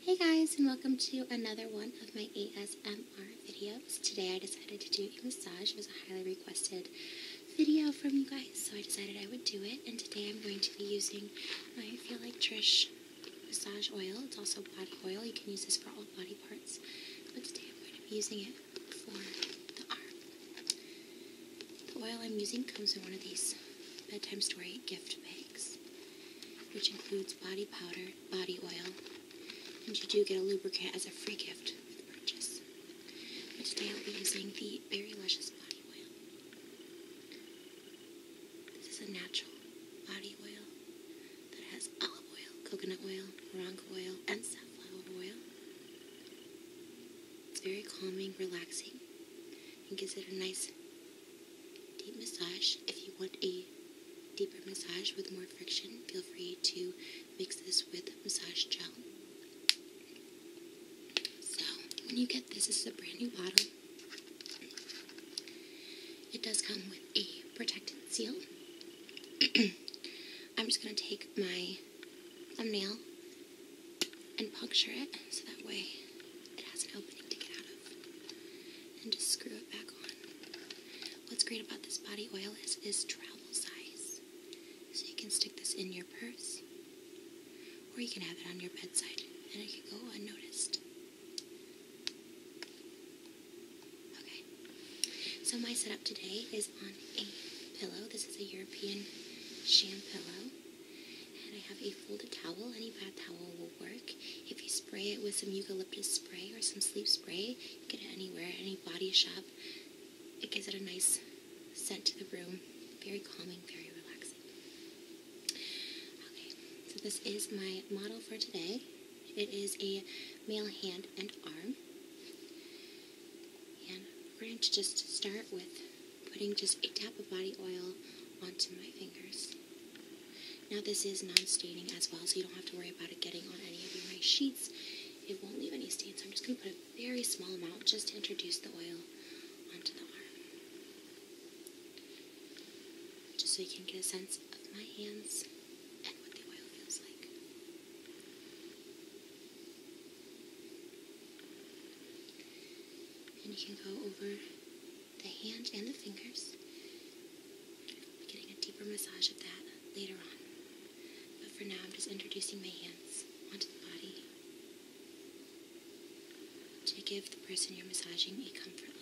Hey guys and welcome to another one of my ASMR videos. Today I decided to do a massage. It was a highly requested video from you guys so I decided I would do it and today I'm going to be using my Feel Like Trish massage oil. It's also body oil. You can use this for all body parts but today I'm going to be using it for the arm. The oil I'm using comes in one of these bedtime story gift bags which includes body powder, body oil, and you do get a lubricant as a free gift with the purchase. But today I'll be using the very Luscious Body Oil. This is a natural body oil that has olive oil, coconut oil, moringa oil, and safflower oil. It's very calming, relaxing, and gives it a nice Deep massage. If you want a deeper massage with more friction, feel free to mix this with massage gel. So, when you get this, it's a brand new bottle. It does come with a protectant seal. I'm just going to take my thumbnail and puncture it so that way it has an opening to get out of. And just screw it back on. What's great about this body oil is it is travel size. So you can stick this in your purse. Or you can have it on your bedside and it can go unnoticed. Okay. So my setup today is on a pillow. This is a European sham pillow. And I have a folded towel. Any bath towel will work. If you spray it with some eucalyptus spray or some sleep spray, you get it anywhere, any body shop. It gives it a nice scent to the room. Very calming, very relaxing. Okay, so this is my model for today. It is a male hand and arm. And we're going to just start with putting just a tap of body oil onto my fingers. Now this is non-staining as well, so you don't have to worry about it getting on any of your nice sheets. It won't leave any stains, so I'm just going to put a very small amount just to introduce the oil onto the arm. Just so you can get a sense of my hands and what the oil feels like. And you can go over the hand and the fingers. I'll be getting a deeper massage of that later on. But for now, I'm just introducing my hands onto the body to give the person you're massaging a comfort level.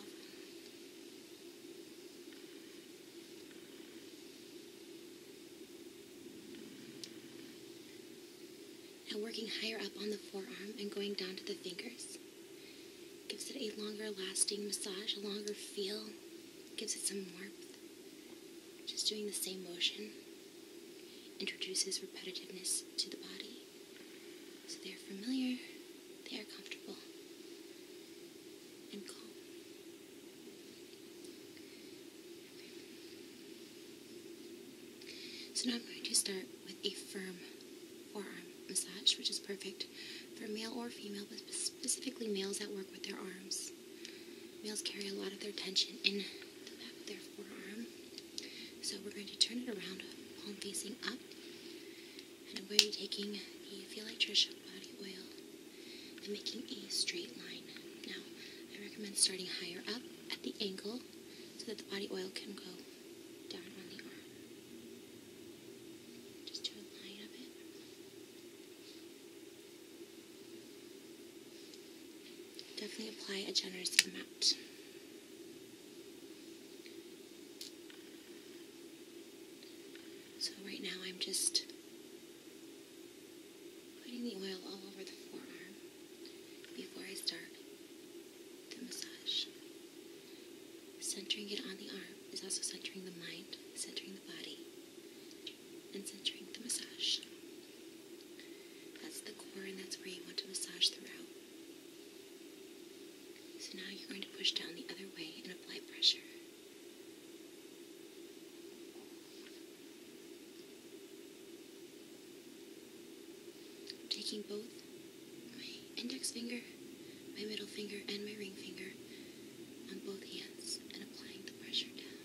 And working higher up on the forearm and going down to the fingers. Gives it a longer lasting massage, a longer feel. Gives it some warmth. Just doing the same motion introduces repetitiveness to the body. So they are familiar, they are comfortable, and calm. So now I'm going to start with a firm forearm massage, which is perfect for male or female, but specifically males that work with their arms. Males carry a lot of their tension in the back of their forearm. So we're going to turn it around, palm facing up. And i are going to be taking the Feel Like Trish body oil and making a straight line. Now, I recommend starting higher up at the ankle so that the body oil can go down on the arm. Just do a line of it. Definitely apply a generous amount. So right now I'm just putting the oil all over the forearm before I start the massage. Centering it on the arm is also centering the mind, centering the body, and centering the massage. That's the core, and that's where you want to massage throughout. So now you're going to push down the other way and apply pressure. I'm taking both my index finger, my middle finger, and my ring finger on both hands and applying the pressure down.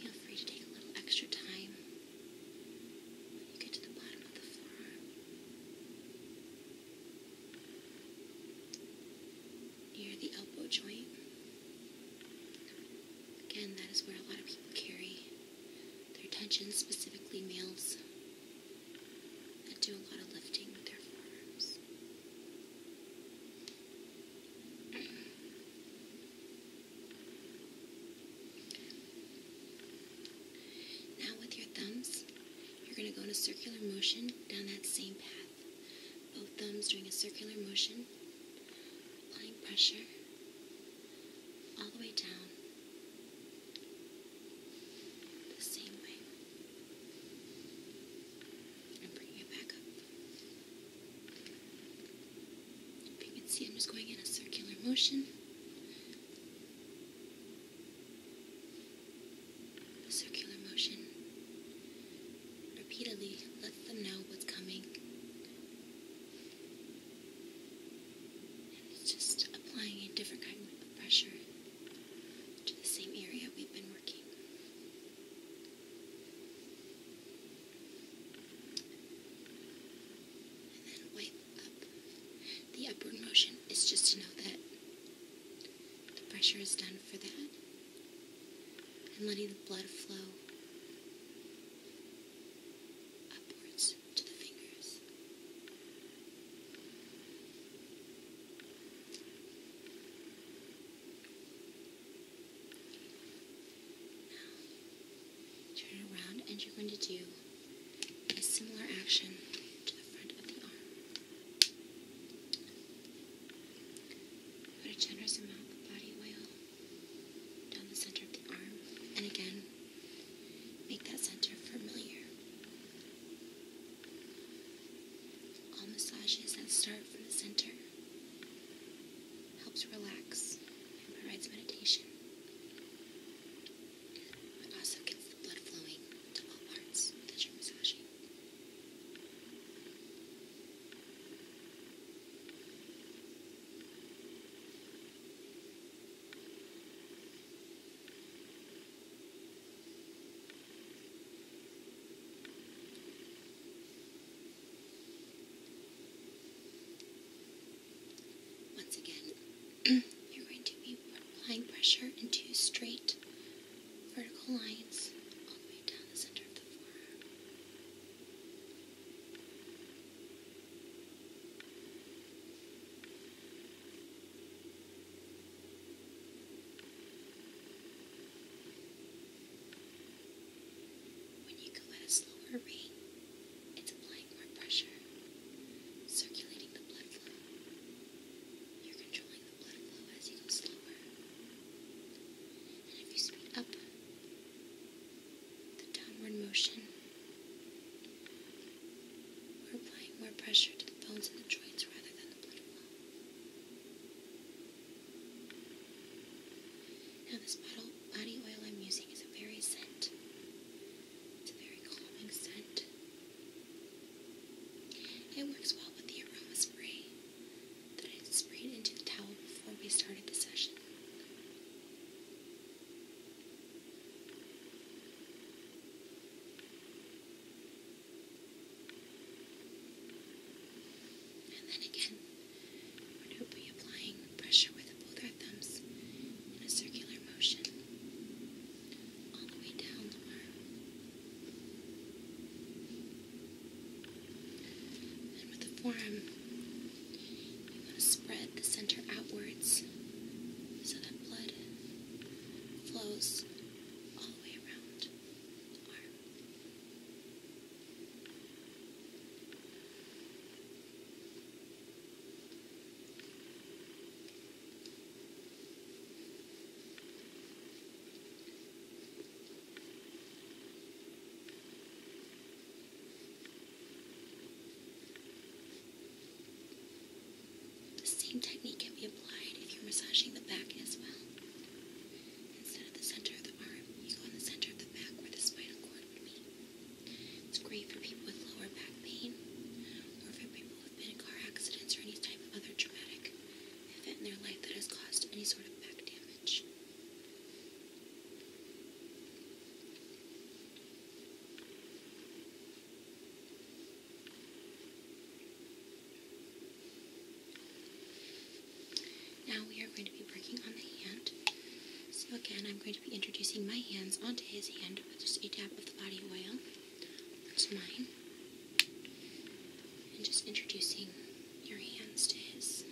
Feel free to take a little extra time when you get to the bottom of the forearm near the elbow joint. Again, that is where a lot of people carry their tension, specifically males that do a lot of lifting with their arms. Now with your thumbs, you're going to go in a circular motion down that same path. Both thumbs doing a circular motion, applying pressure all the way down. The same way. And bringing it back up. If you can see, I'm just going in a circular motion. A circular motion. Repeatedly let them know what's coming. And just applying a different kind of pressure to the same area we've been working. And then wipe up. The upward motion is just to know that the pressure is done for that and letting the blood flow upwards to the fingers. Now, turn around and you're going to do a similar action to the front of the arm. Put a generous amount of body oil down the center of the arm, and again, make that center familiar. All massages that start from the center helps relax and provides meditation. It also gets the blood flowing to all parts that you're massaging. Once again, you're going to be applying pressure in two straight vertical lines all the way down the center of the forearm. When you go at a slower rate, it's applying more pressure, circulating the blood flow. You're controlling the blood flow as you go slower. And if you speed up the downward motion, we're applying more pressure to the bones and the joints rather than the blood flow. Now, this bottle, body oil I'm using is a very scent. It's a very calming scent. It works well with the aroma spray that I sprayed into the towel before we started the session. And then again, we're going to be applying pressure with both our thumbs in a circular motion all the way down the arm. And with the forearm, you want to spread the center outwards so that blood flows all the way around the arm. The same technique can be applied if you're massaging the back as well. Instead of the center of the arm, you go in the center of the back where the spinal cord would be. It's great for people with lower back pain or for people who car accidents or any type of other traumatic event in their life that has caused any sort of back damage. Now we are going to be working on the hand. So again, I'm going to to be introducing my hands onto his hand with just a tap of the body oil That's mine and just introducing your hands to his.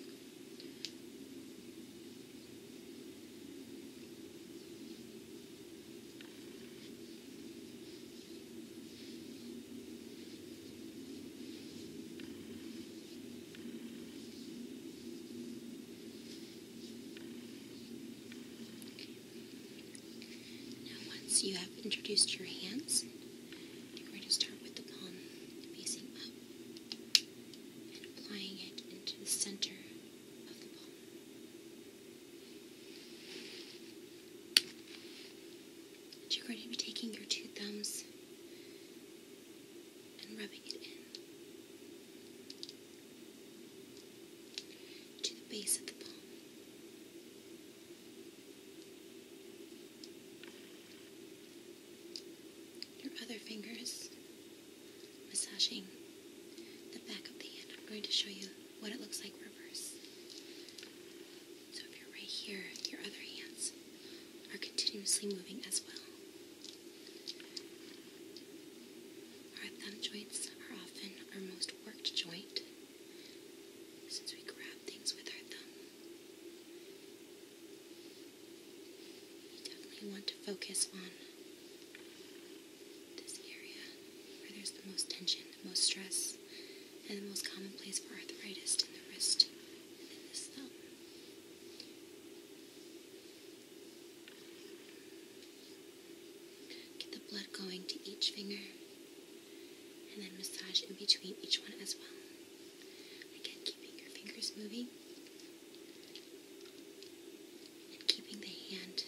Now, once you have introduced your hands, you're going to start with the palm facing up and applying it into the center of the palm. And you're going to be taking your two thumbs and rubbing it in to the base of the palm. Your other fingers massaging the back of the hand. I'm going to show you what it looks like reverse. So if you're right here, your other hands are continuously moving as well. Our thumb joints are often our most worked joint since we grab things with our thumb. We definitely want to focus on this area where there's the most tension, the most stress, and the most common place for arthritis in the wrist and in this thumb. Get the blood going to each finger and then massage in between each one as well. Again, keeping your fingers moving and keeping the hand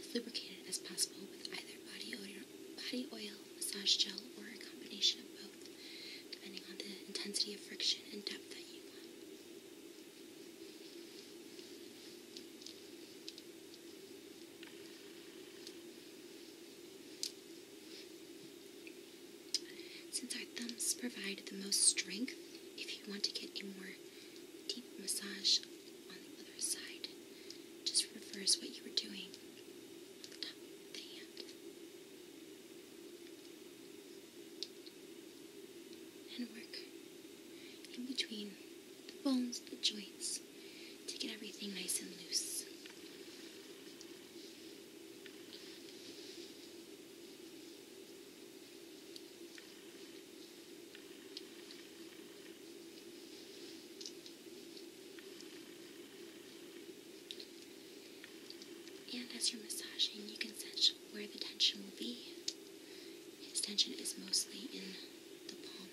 as lubricated as possible with either body oil, body oil, massage gel, or a combination of both, depending on the intensity of friction and depth that you want. Since our thumbs provide the most strength, if you want to get a more deep massage on the other side, just reverse what you were doing and work in between the bones, the joints, to get everything nice and loose. And as you're massaging, you can sense where the tension will be. His tension is mostly in the palm.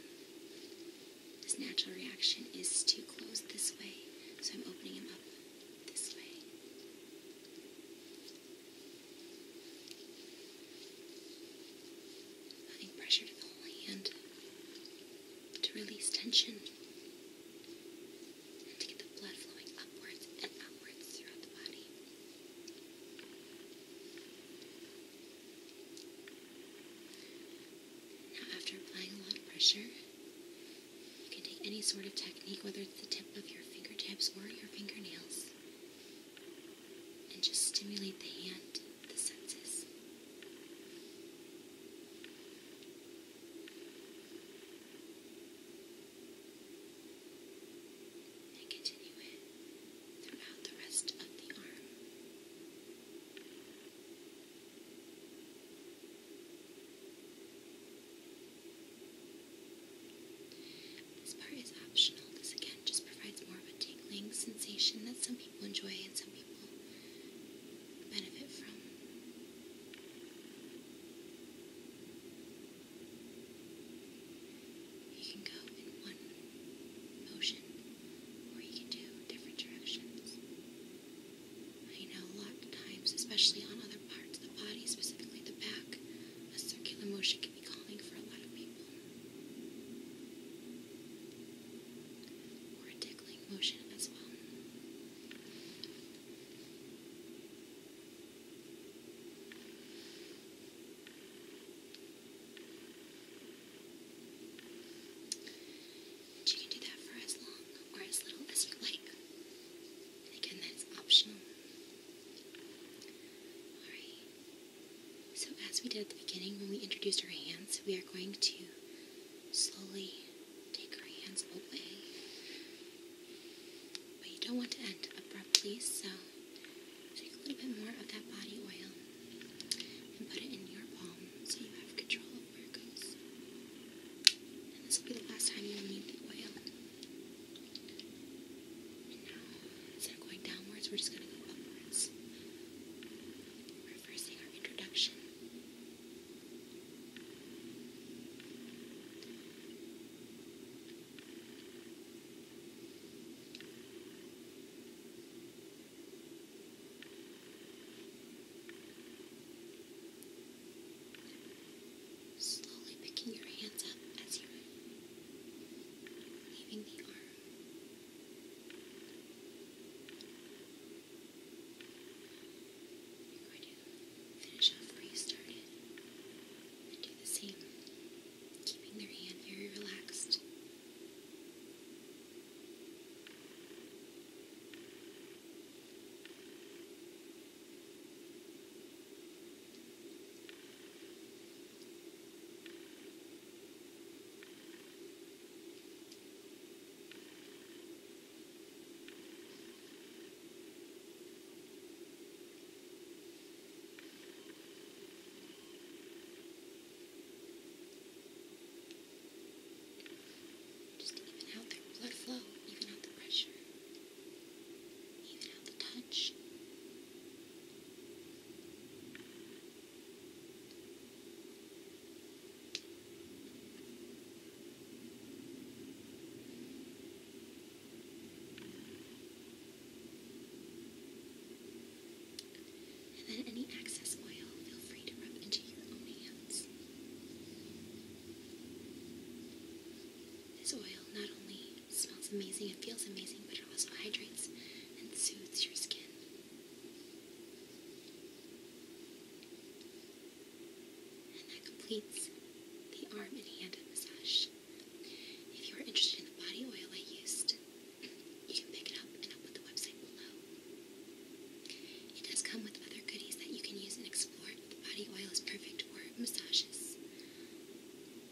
His natural reaction is to close this way, so I'm opening him up this way. Adding pressure to the whole hand to release tension to get the blood flowing upwards and outwards throughout the body. Now, after applying a lot of pressure, you can take any sort of technique, whether it's the tip of your fingertips or your fingernails, and just stimulate the hand, the senses and continue it throughout the rest of the arm. This part is optional. This again just provides more of a tingling sensation that some people enjoy and some people benefit from. You can go in one motion, or you can do different directions. I know a lot of times, especially on other parts of the body, specifically the back, a circular motion can be calming for a lot of people. Or a tickling motion as well you can do that for as long or as little as you like. again, that's optional. Alright. So, as we did at the beginning when we introduced our hands, we are going to slowly take our hands away but you don't want to end abruptly, so take a little bit more of that body oil and put it in your palm so you have control of where it goes. And this will be the last time you need the oil. And now, instead of going downwards, we're just going to go upwards. we our introduction. Slowly picking your hands up as you're leaving the arm. You're going to finish off where you started and do the same, keeping their hand very relaxed. Just even out their blood flow, even out the pressure, even out the touch. And then any excess oil, feel free to rub into your own hands. This oil not only smells amazing and feels amazing, but it also hydrates and soothes your skin. That completes the arm and hand massage. If you are interested in the body oil I used, you can pick it up and I'll put the website below. It does come with other goodies that you can use and explore. The body oil is perfect for massages.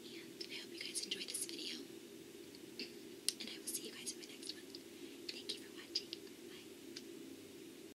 And I hope you guys enjoyed this video. And I will see you guys in my next one. Thank you for watching. Bye.